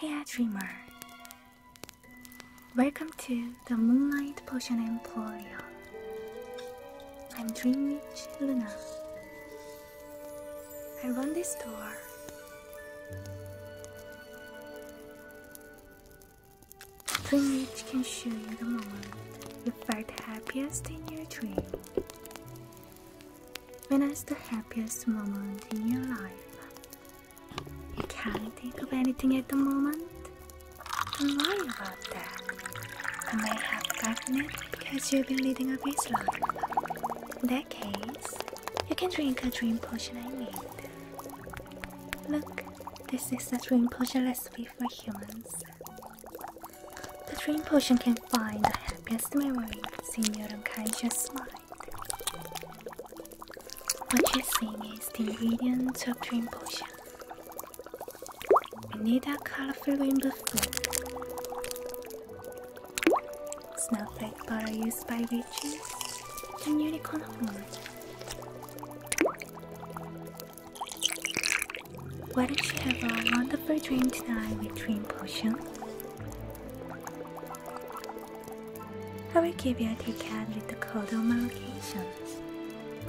Hey dreamer. Welcome to the Moonlight Potion Emporium. I'm Dreamwitch Luna. I run this store. Dreamwitch can show you the moment you felt happiest in your dream. When is the happiest moment in your life. You can't think of anything at the moment? Don't worry about that. I may have gotten it because you've been leading a busy life. In that case, you can drink a dream potion I made. Look, this is a dream potion recipe for humans. The dream potion can find the happiest memory, Senior Runkai just smiled. What you're seeing is the ingredients of dream potion. We need a colorful rainbow fruit. Snowflake butter used by witches and unicorn horn. Why don't you have a wonderful dream tonight with Dream Potion? I will give you a tea with the code my location.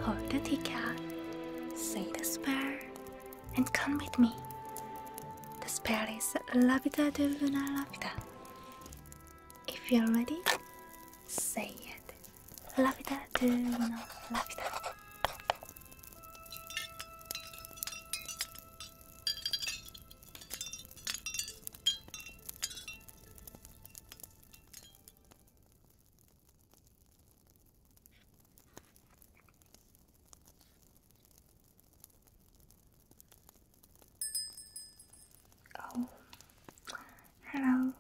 Hold the tea say the spell, and come with me. The spell is Lapita de Luna If you're ready, say it. Lapita de Luna Lapita. Oh, hello.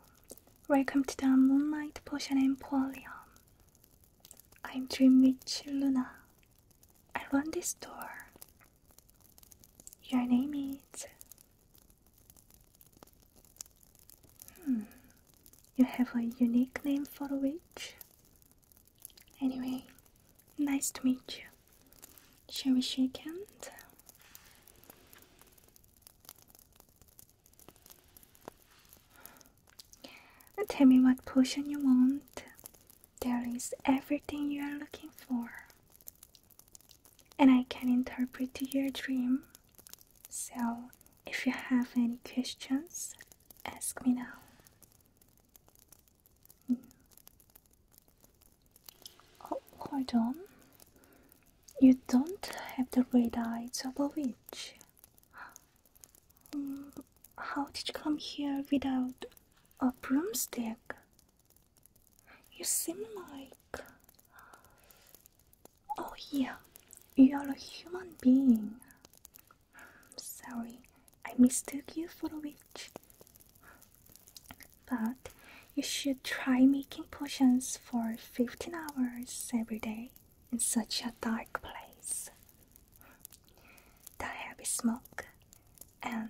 Welcome to the Moonlight Potion Emporium. I'm Dream Witch Luna. I run this store. Your name is. Hmm. You have a unique name for a witch? Anyway, nice to meet you. Shall we shake hands? Tell me what potion you want. There is everything you are looking for. And I can interpret your dream. So, if you have any questions, ask me now. Hmm. Oh, hold on. You don't have the red eyes of a witch how did you come here without a broomstick? You seem like. Oh, yeah, you are a human being. Sorry, I mistook you for a witch. But you should try making potions for 15 hours every day in such a dark place. The heavy smoke and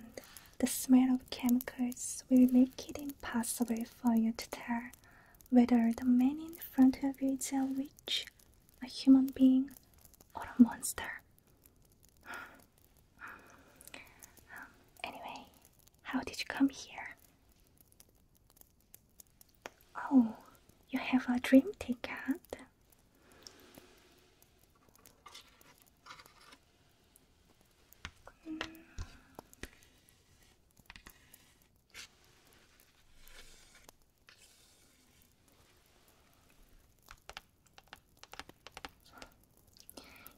the smell of chemicals will make it impossible for you to tell whether the man in front of you is a witch, a human being, or a monster. anyway, how did you come here? Oh, you have a dream ticket.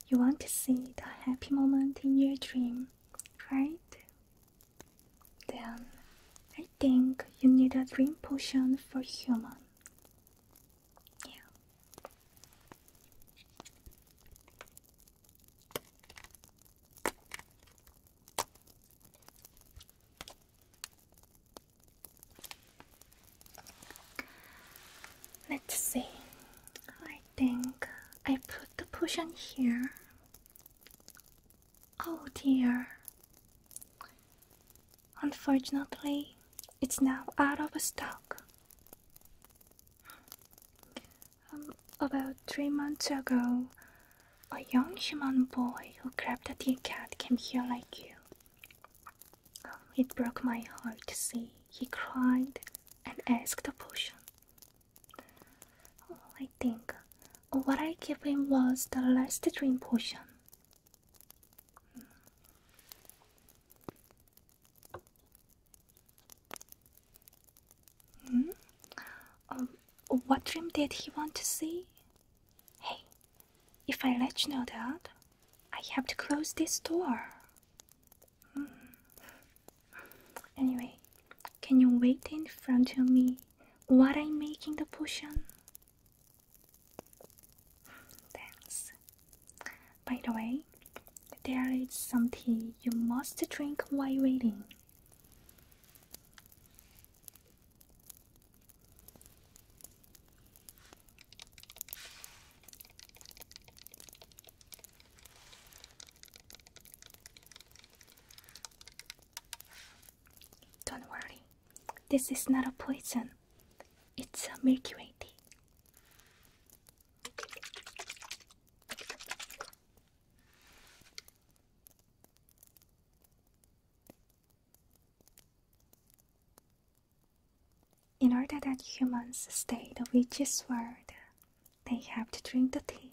You want to see the happy moment in your dream, right? Then I think you need a dream potion for human. Yeah. Let's see. I think I put the potion here. Oh dear. Unfortunately, it's now out of stock. Um, about three months ago, a young human boy who grabbed a dead cat came here like you. It broke my heart to see he cried and asked a potion. I think what I gave him was the last dream potion, Hmm? Uh, what dream did he want to see? Hey, if I let you know that, I have to close this door. Hmm. Anyway, can you wait in front of me What I am making the potion? Thanks. By the way, there is some tea you must drink while waiting. Don't worry, this is not a poison, it's a Milky tea. In order that humans stay the witch's world, they have to drink the tea.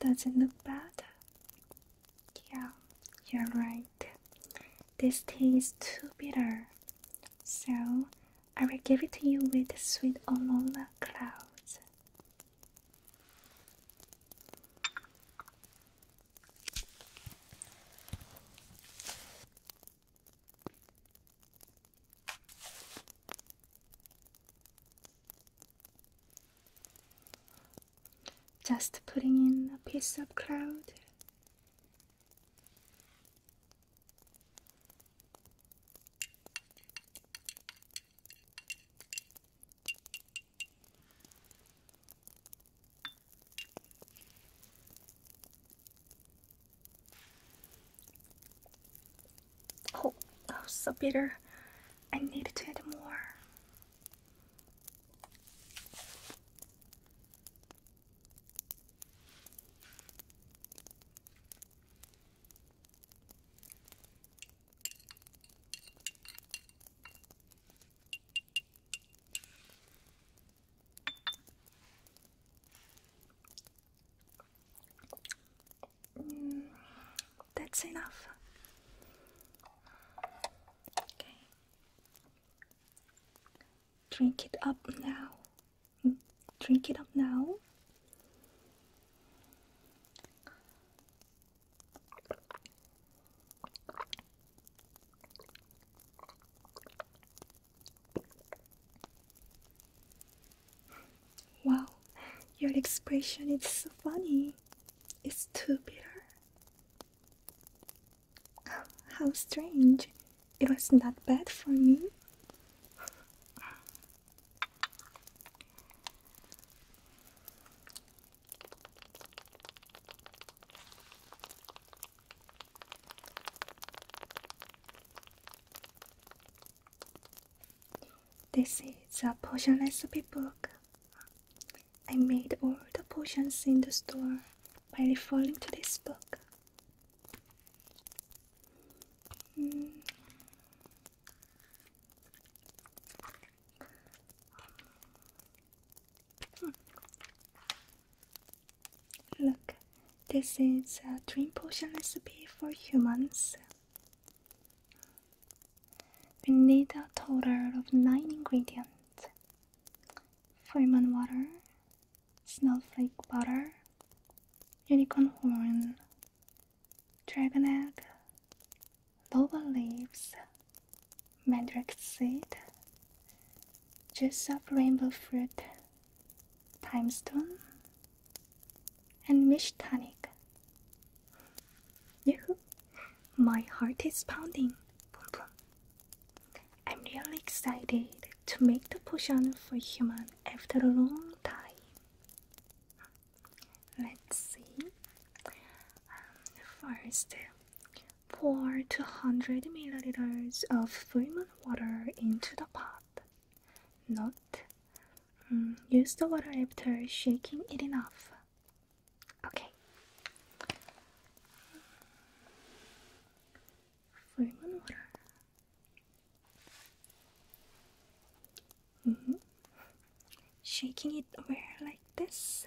does it look bad? Yeah, you're right. This tastes too bitter, so I will give it to you with sweet Olona clouds. Just putting in a piece of cloud. Oh, oh, so bitter. I need to add more. Mm, that's enough. Okay. Drink it up now. Drink it up now Wow, your expression is so funny. It's too bitter. how strange. It was not bad for me. This is a potion recipe book. I made all the potions in the store by referring to this book. Hmm. Look, this is a dream potion recipe for humans. We need a total of 9 ingredients Freeman water, snowflake butter, unicorn horn, dragon egg, loba leaves, mandrake seed, juice of rainbow fruit, time stone, and mish tonic. My heart is pounding. I'm really excited to make the potion for human after a long time. Let's see. Um, first, pour 200 milliliters of Fremont water into the pot. Note, mm, use the water after shaking it enough. Okay. Fremont water. Mm-hmm. Shaking it over like this.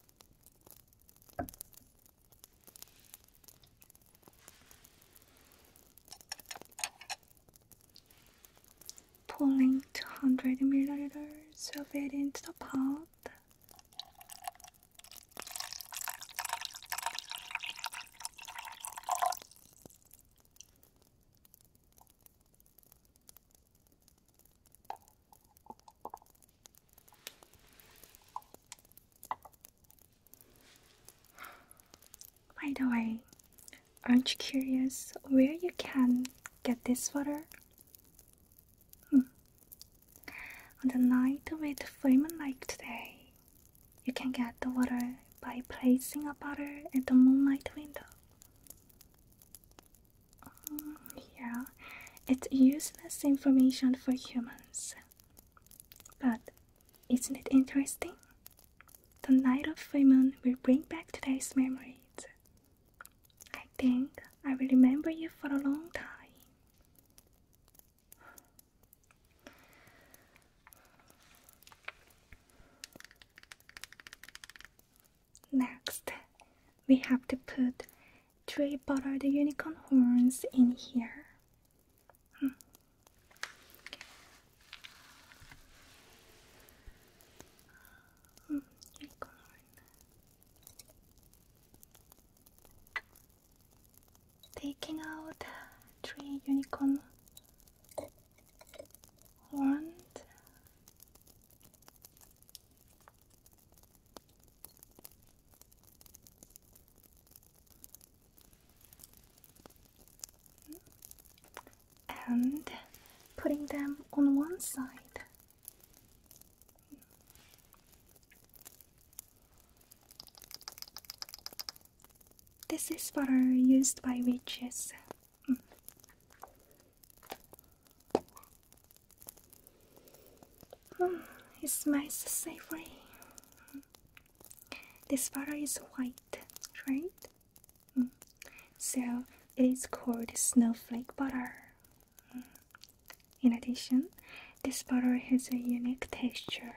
Pulling 200 milliliters of it into the pot. By the way, aren't you curious where you can get this water? Hmm. On the night with Freeman like today, you can get the water by placing a butter at the moonlight window. Um, yeah, it's useless information for humans. But isn't it interesting? The night of full will bring back today's memories. I think I will remember you for a long time. Next, we have to put three buttered unicorn horns in here. Hmm. hmm Taking out three unicorn horns and putting them on one side. This is butter used by witches it smells savory. This butter is white, right? Mm. So it is called snowflake butter. Mm. In addition, this butter has a unique texture.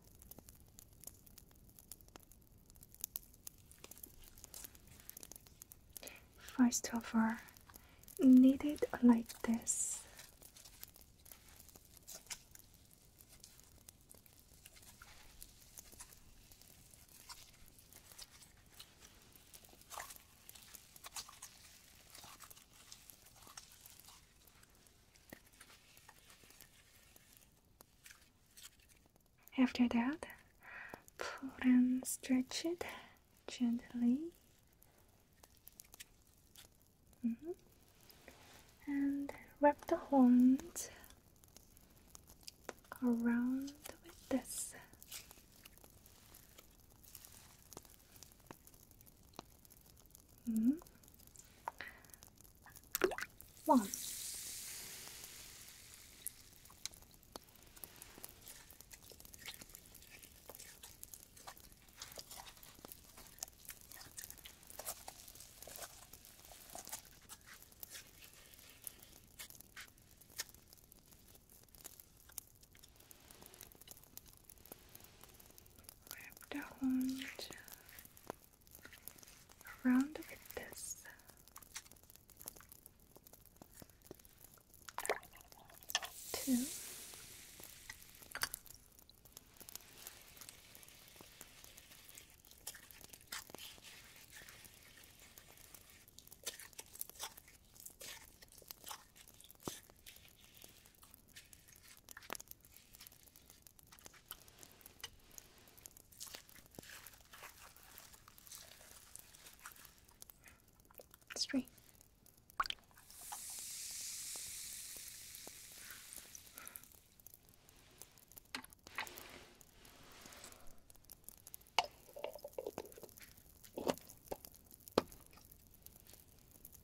First of all, knit like this. After that, pull and stretch it gently. Mm-hmm. And wrap the horns around with this. Mm -hmm. One. Wrapped around with this. Two. Straight.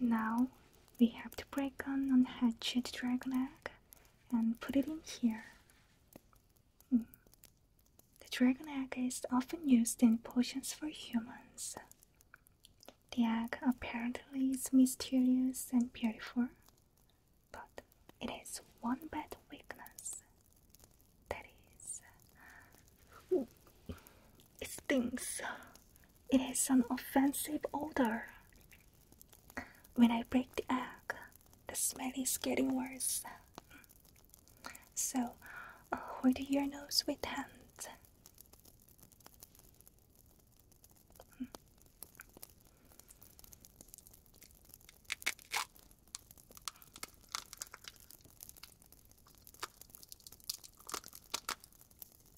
Now we have to break on on hatchet dragon egg and put it in here. Hmm. The dragon egg is often used in potions for humans. The egg apparently is mysterious and beautiful, but it has one bad weakness. That is, it stinks. It has an offensive odor. When I break the egg, the smell is getting worse. So, uh, hold your nose with hands.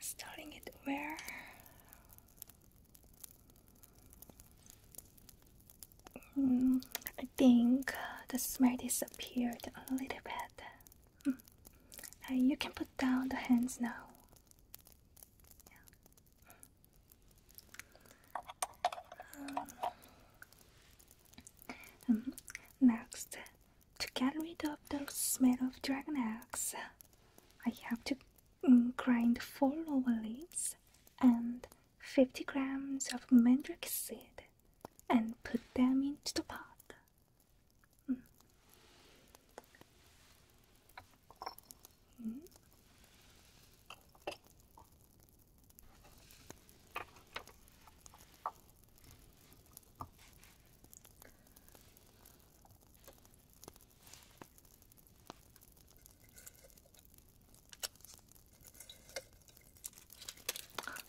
Starting it where? Hmm, I think uh, the smell disappeared a little bit. Mm. you can put down the hands now. Um, next, to get rid of the smell of dragon eggs, I have to mm, grind 4 lower and 50 grams of mandrake seed and put them into the pot. Mm.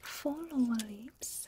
Four lower lips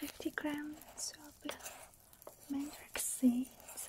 50 grams of mandrake seeds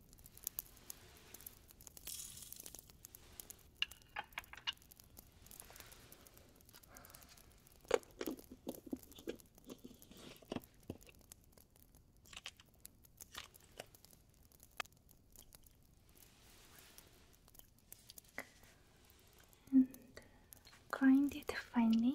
and grind it finely.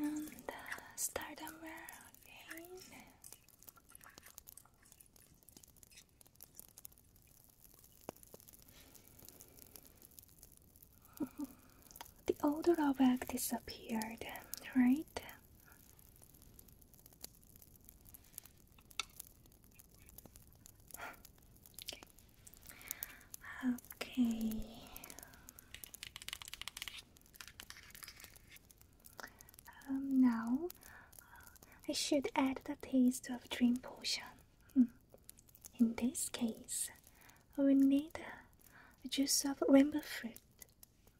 And start over again. The old drawback disappeared, right? Okay. Um, now I should add the taste of dream potion. Hmm. In this case, we need a juice of rainbow fruit.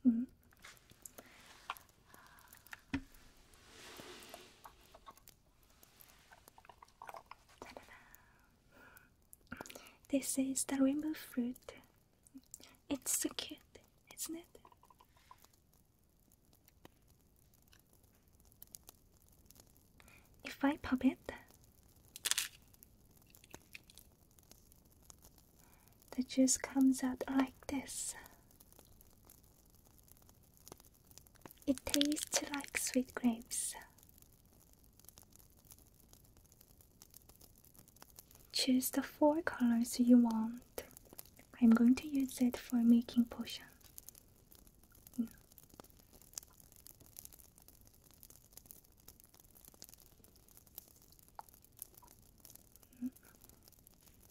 Hmm. This is the rainbow fruit. It's so cute, isn't it? If I pop it, the juice comes out like this. It tastes like sweet grapes. Choose the four colors you want. I'm going to use it for making potion.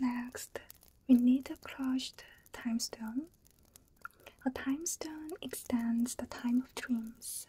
Next, we need a crushed time stone a time stone extends the time of dreams.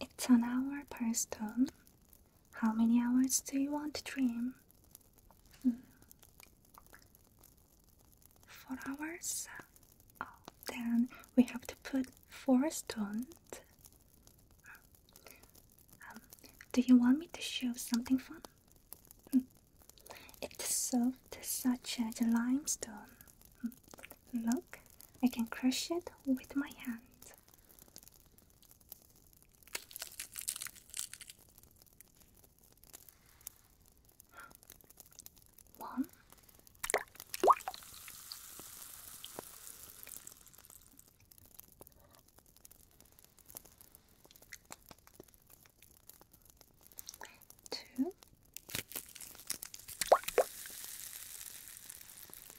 It's an hour per stone. How many hours do you want to dream? Hmm. Four hours? Oh, then we have to put four stones. Um, do you want me to show something fun? Hmm. It's soft, such as limestone. Look, I can crush it with my hand. One, two,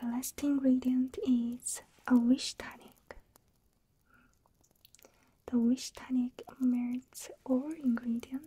The last ingredient is a wish tonic. The wish tonic melts all ingredients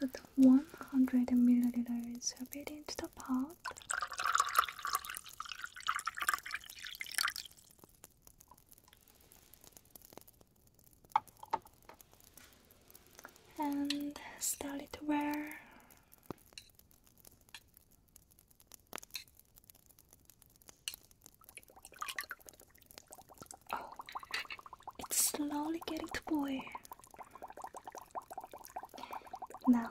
Put 100 milliliters of it into the pot out. And start it to wear. Oh, it's slowly getting to boil. Now,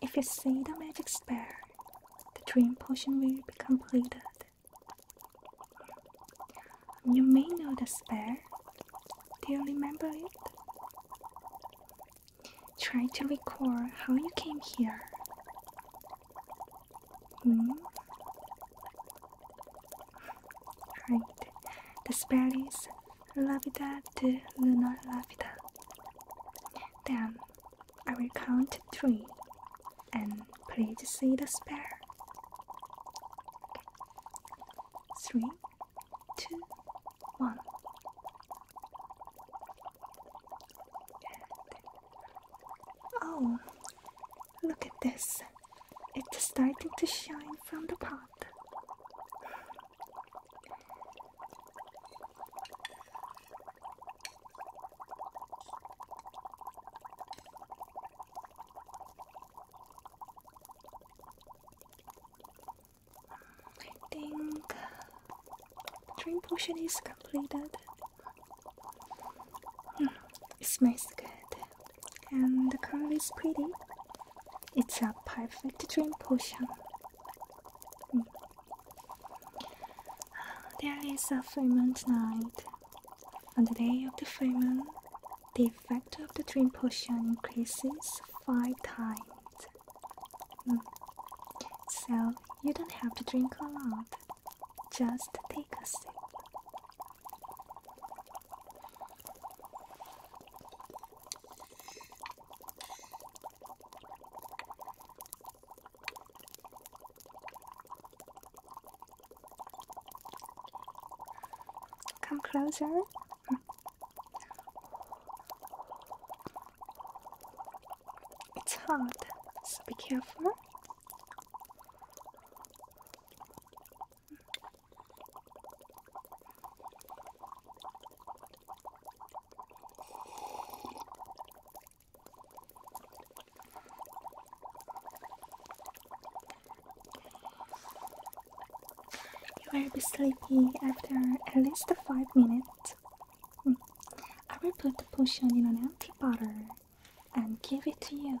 if you see the magic spell, the dream potion will be completed. You may know the spell. Do you remember it? Try to recall how you came here. Hmm? Right. The spell is Lavida to Lunar Lavida. Then I will count three and please see the spare. Three, two, one. Oh, look at this. It's starting to shine from the pot. I think dream potion is completed. Hmm, it smells good, and the color is pretty. It's a perfect dream potion. Hmm. Ah, there is a full moon tonight. On the day of the full the effect of the dream potion increases five times. Hmm. So you don't have to drink a lot. Just take a sip. Come closer. Hmm. It's hot, so be careful. Hmm. You will be sleepy after at least 5 minutes. Hmm. I will put the potion in an empty bottle and give it to you.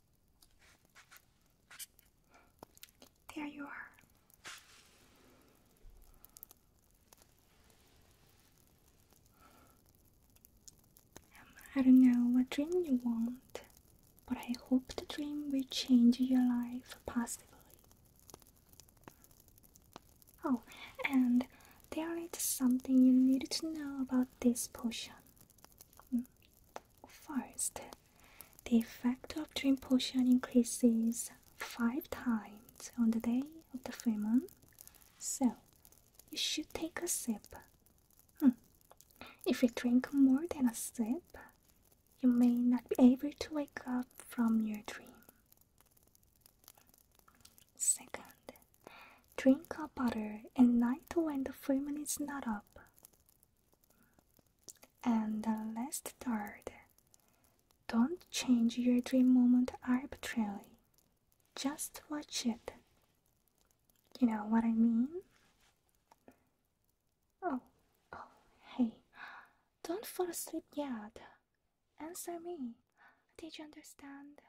There you are. I don't know what dream you want, but I hope the dream will change your life positively. Oh, and there is something you need to know about this potion. First, the effect of dream potion increases 5 times on the day of the full moon, so you should take a sip. Hmm. If you drink more than a sip, you may not be able to wake up from your dream. Second, Drink a butter at night when the filming is not up. And the last third, don't change your dream moment arbitrarily. Just watch it. You know what I mean? Oh, oh, hey, don't fall asleep yet. Answer me. Did you understand?